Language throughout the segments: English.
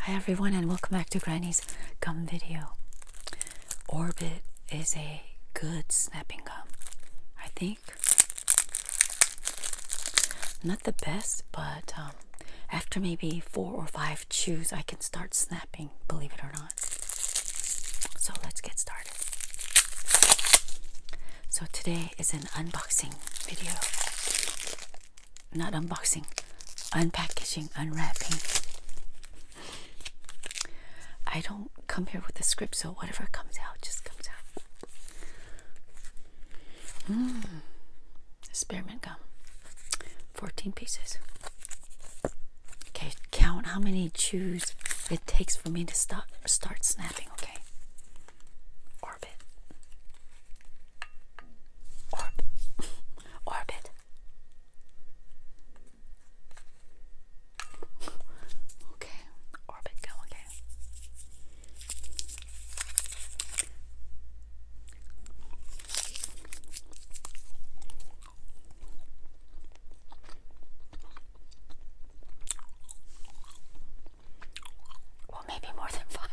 Hi everyone and welcome back to Granny's gum video. Orbit is a good snapping gum. I think not the best, but um, after maybe four or five chews, I can start snapping, believe it or not. So let's get started. So today is an unboxing video not unboxing, unpackaging, unwrapping. I don't come here with a script, so whatever comes out just comes out. Mmm, spearmint gum, 14 pieces. Okay, count how many chews it takes for me to stop, start snapping, okay? orbit, Orb. orbit. Okay, orbit go okay maybe more than five.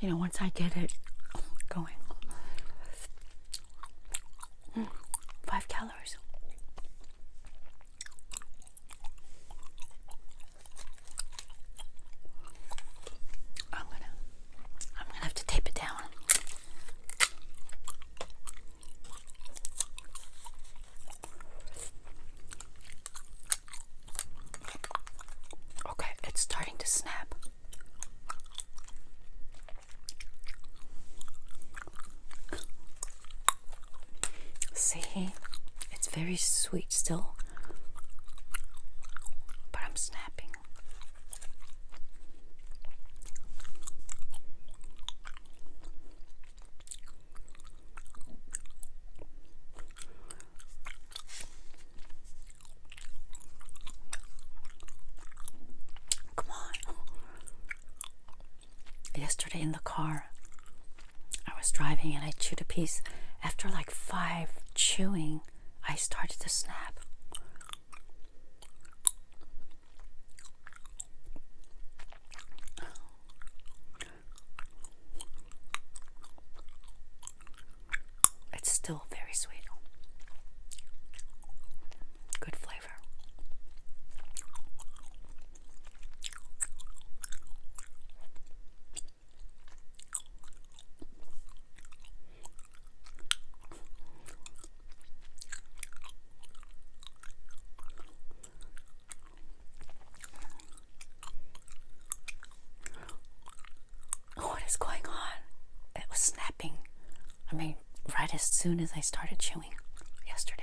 You know, once I get it going, mm, five calories. I'm gonna, I'm gonna have to tape it down. Okay, it's starting to snap. See, it's very sweet still, but I'm snapping. Come on. Yesterday in the car, I was driving and I chewed a piece. After like five chewing, I started to snap. It's still very sweet. Good flavor. What is going on? It was snapping. I mean, right as soon as I started chewing yesterday.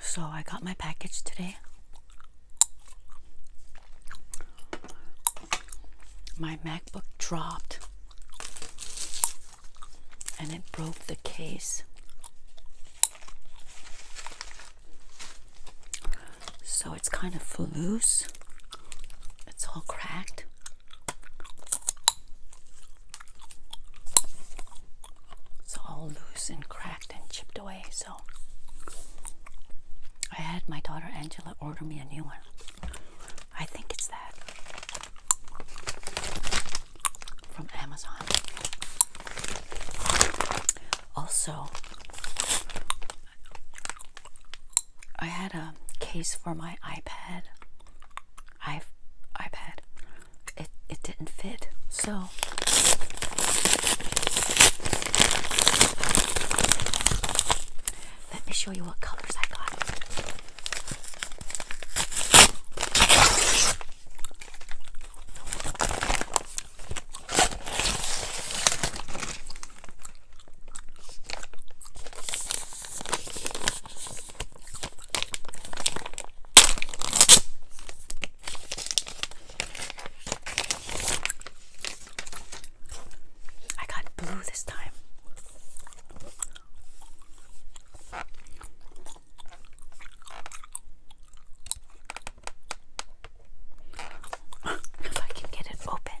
So I got my package today. My MacBook dropped and it broke the case. So it's kind of loose. It's all cracked. It's all loose and cracked and chipped away. So I had my daughter Angela order me a new one. I think it's that from Amazon. Also, I had a case for my iPad I've I've had it it didn't fit. So let me show you what colors I got. I got blue this time. if I can get it open.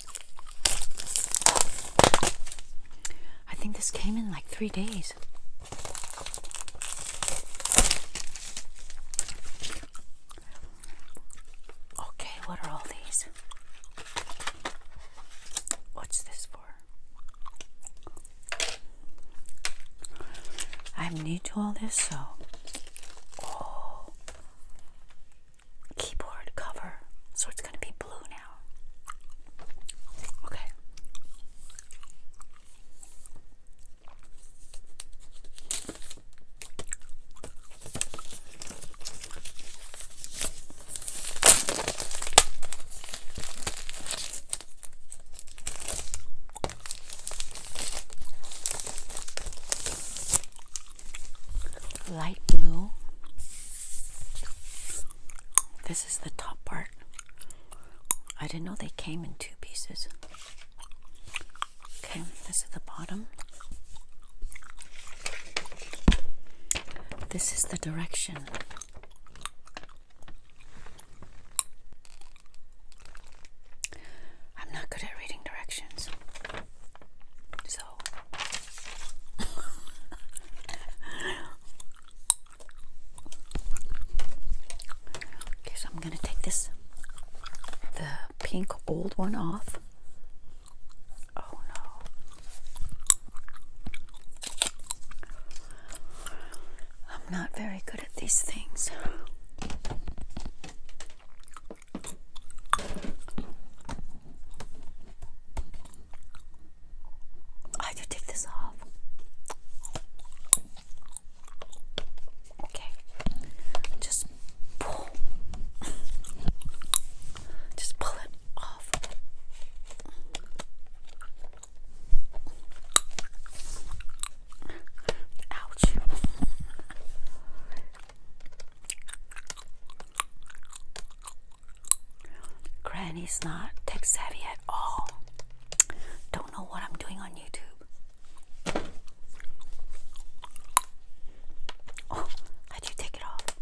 I think this came in like three days. Okay, what are all these? What's this for? I'm new to all this, so. Oh keyboard cover, so it's going to be blue now. Okay light blue. This is the top part. I didn't know they came in two pieces. Okay, this is the bottom. This is the direction. I'm not good at reading directions. So so. okay, so I'm gonna take this, the pink old one off. Oh no. I'm not very good at these things. I do take this off. Okay, just pull, just pull it off. Ouch. Granny's not tech savvy at all. Don't know what I'm doing on YouTube. Oh, how'd you take it off?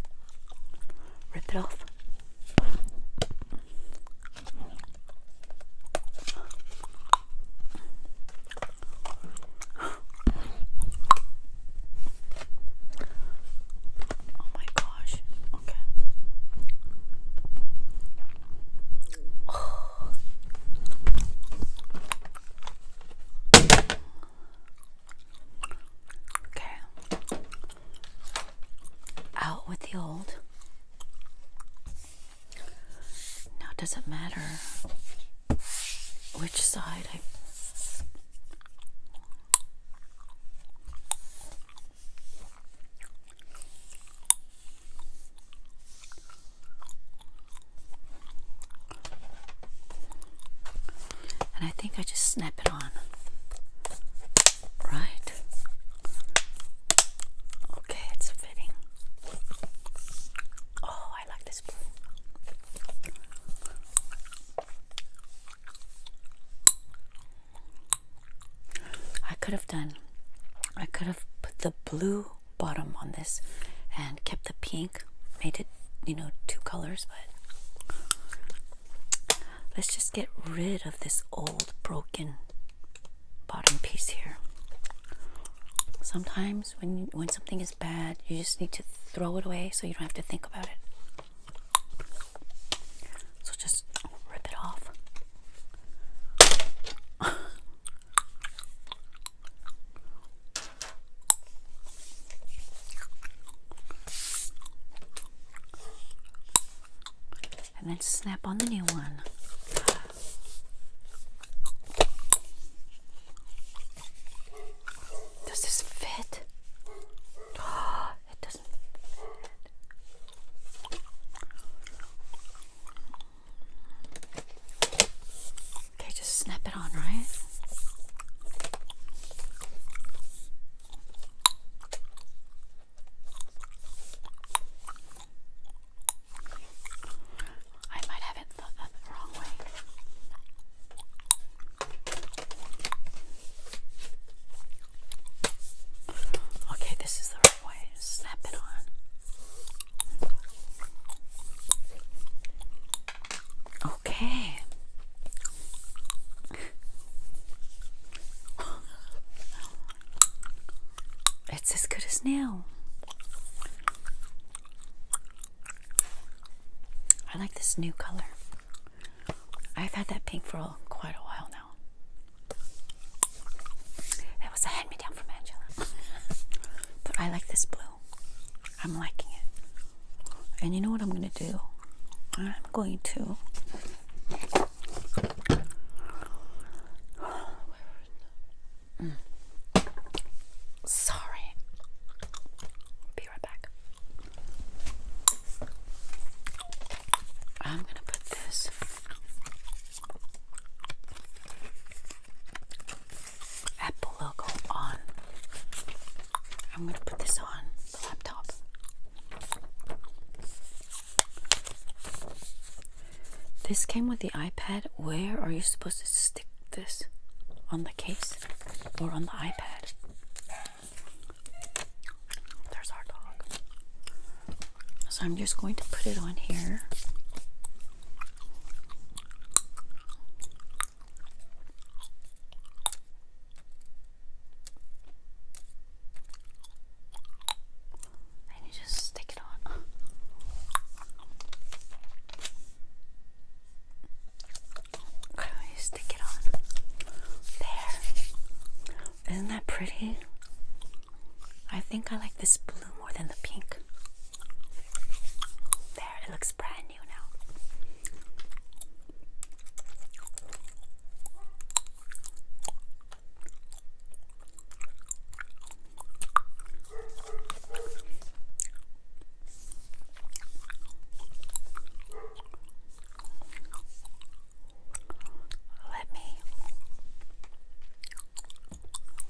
Rip it off. Oh my gosh. Okay. Okay. Out with the old. Now, does it matter which side I and I think I just snap it on. Right? Okay, it's fitting. Oh, I like this I could have done, I could have put the blue bottom on this and kept the pink, made it, you know, two colors, but let's just get rid of this old broken bottom piece here. Sometimes when when something is bad. You just need to throw it away so you don't have to think about it. So just rip it off. and then snap on the new one. Does this fit? it doesn't fit. Okay, just snap it on, right? I might have it uh, the wrong way. Okay, this is the right way. Snap it on. Okay. It's as good as new. I like this new color. I've had that pink for quite a while now. That was a hand me down from Angela. but I like this blue. I'm liking it. And you know what I'm going to do? I'm going to. Sorry. Be right back. I'm gonna put this. Apple logo on. I'm going to put this on the laptop. This came with the iPad. Where are you supposed to stick this? On the case or on the iPad? There's our dog. So I'm just going to put it on here. And you just stick it on. Okay, stick it on. There. Isn't that pretty? I think I like this blue more than the pink. There, it looks brand new now. Let me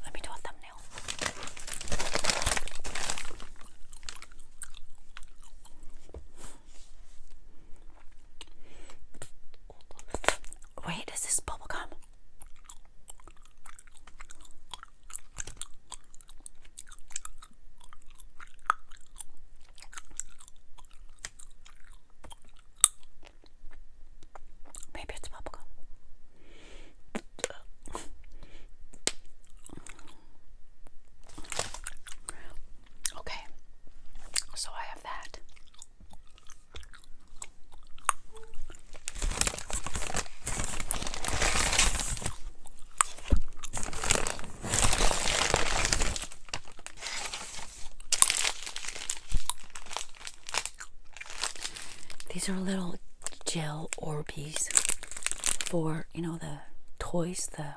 let me do a thumbnail. Wait, is this bubble bubblegum? Maybe it's bubblegum. Okay, so I have that. These are little gel Orbeez for, you know, the toys, the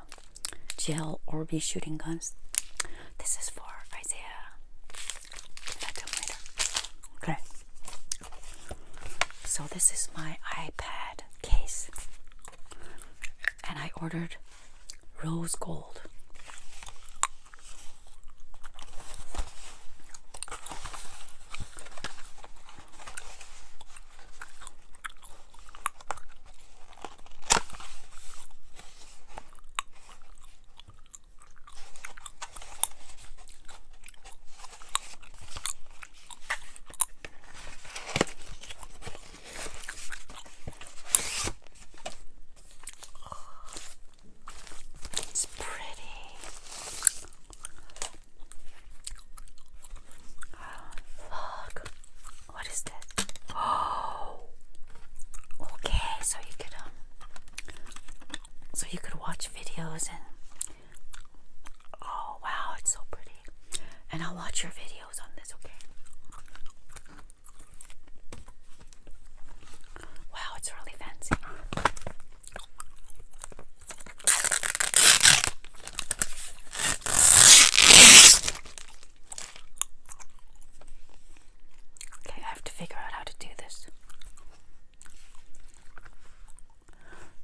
gel Orbeez shooting guns. This is for Isaiah. Okay. So this is my iPad case. And I ordered rose gold. It's pretty. look. What is this? Oh. Okay, so you could um so you could watch videos and oh wow, it's so pretty. And I'll watch your videos on this, okay? Wow, it's really fancy. Okay, I have to figure out how to do this.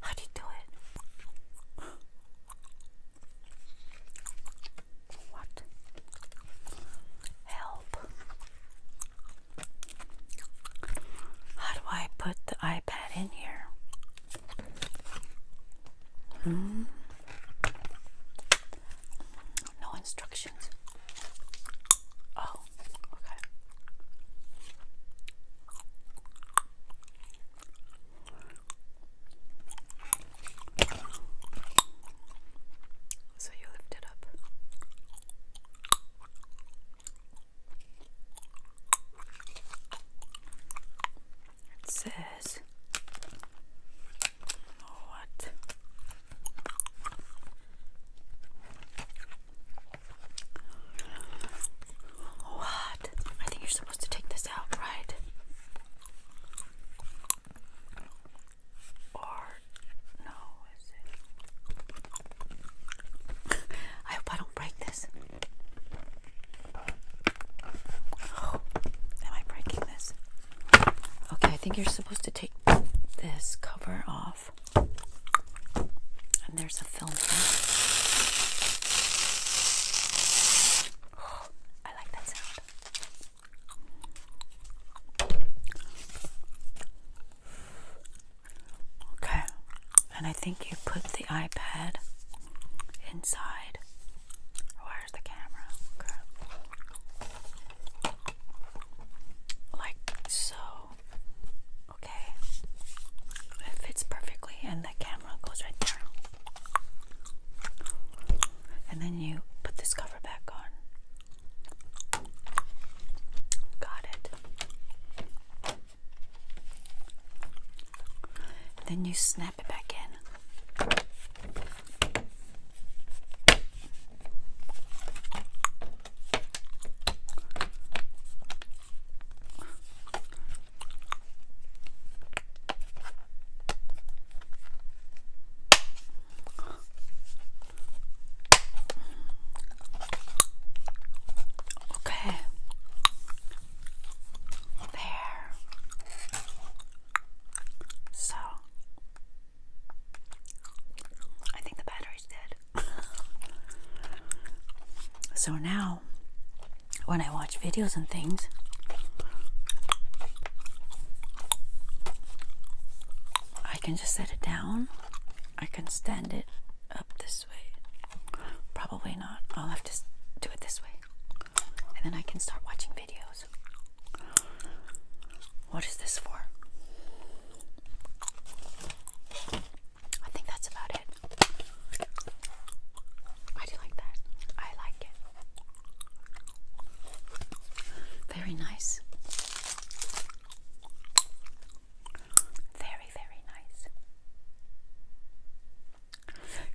How do you do it? What? Help. How do I put the iPad in here? Hmm. No instructions. Oh, okay. So you lift it up. It says what what? I think you're supposed to take this out, right? Or no, is it? I hope I don't break this. Oh, am I breaking this? Okay, I think you're supposed to take this cover off. And there's a film here. I like that sound. Okay, and I think you put the iPad inside. Where's the camera? like so. Okay, it fits perfectly, and the camera goes right there. And then you put this cover back on. Got it. Then you snap it back in. Okay. There. So I think the battery's dead. so now, when I watch videos and things, I can just set it down. I can stand it up this way. Probably not. I'll have to do it this way. And then I can start watching videos. What is this for? I think that's about it. I do like that. I like it. Very nice. Very, very nice.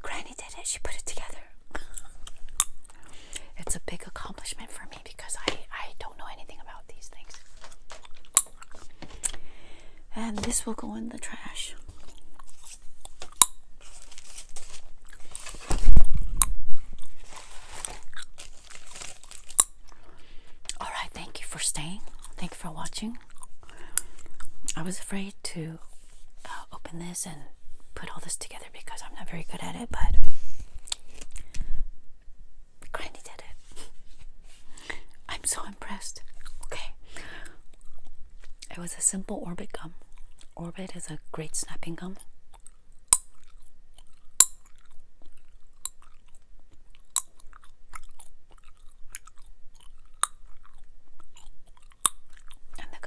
Granny did it, she put it together it's a big accomplishment for me because I, I don't know anything about these things. And this will go in the trash. Alright, thank you for staying. Thank you for watching. I was afraid to uh, open this and put all this together because I'm not very good at it, but Granny did it. I'm so impressed. Okay. It was a simple Orbit gum. Orbit is a great snapping gum. And the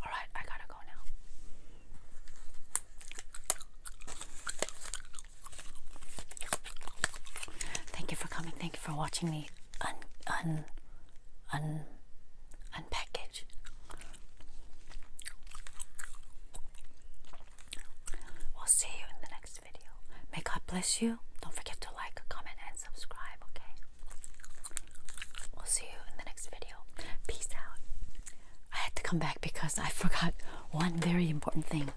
All right, I gotta go now. Thank you for coming. Thank you for watching me. Un, un, un and package. We'll see you in the next video. May God bless you. Don't forget to like, comment, and subscribe, okay? We'll see you in the next video. Peace out. I had to come back because I forgot one very important thing.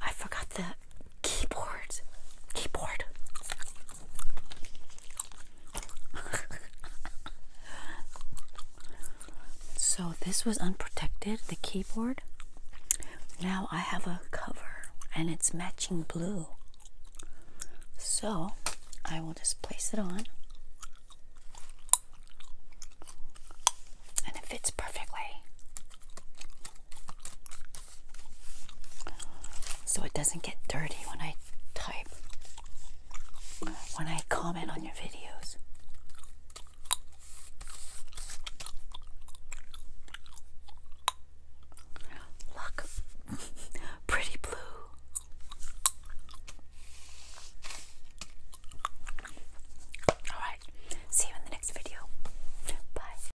I forgot the keyboard. Keyboard. so this was unprotected, the keyboard. Now I have a cover and it's matching blue. So I will just place it on. And it fits perfectly so it doesn't get dirty when I type, when I comment on your videos. Look, pretty blue. All right, see you in the next video. Bye.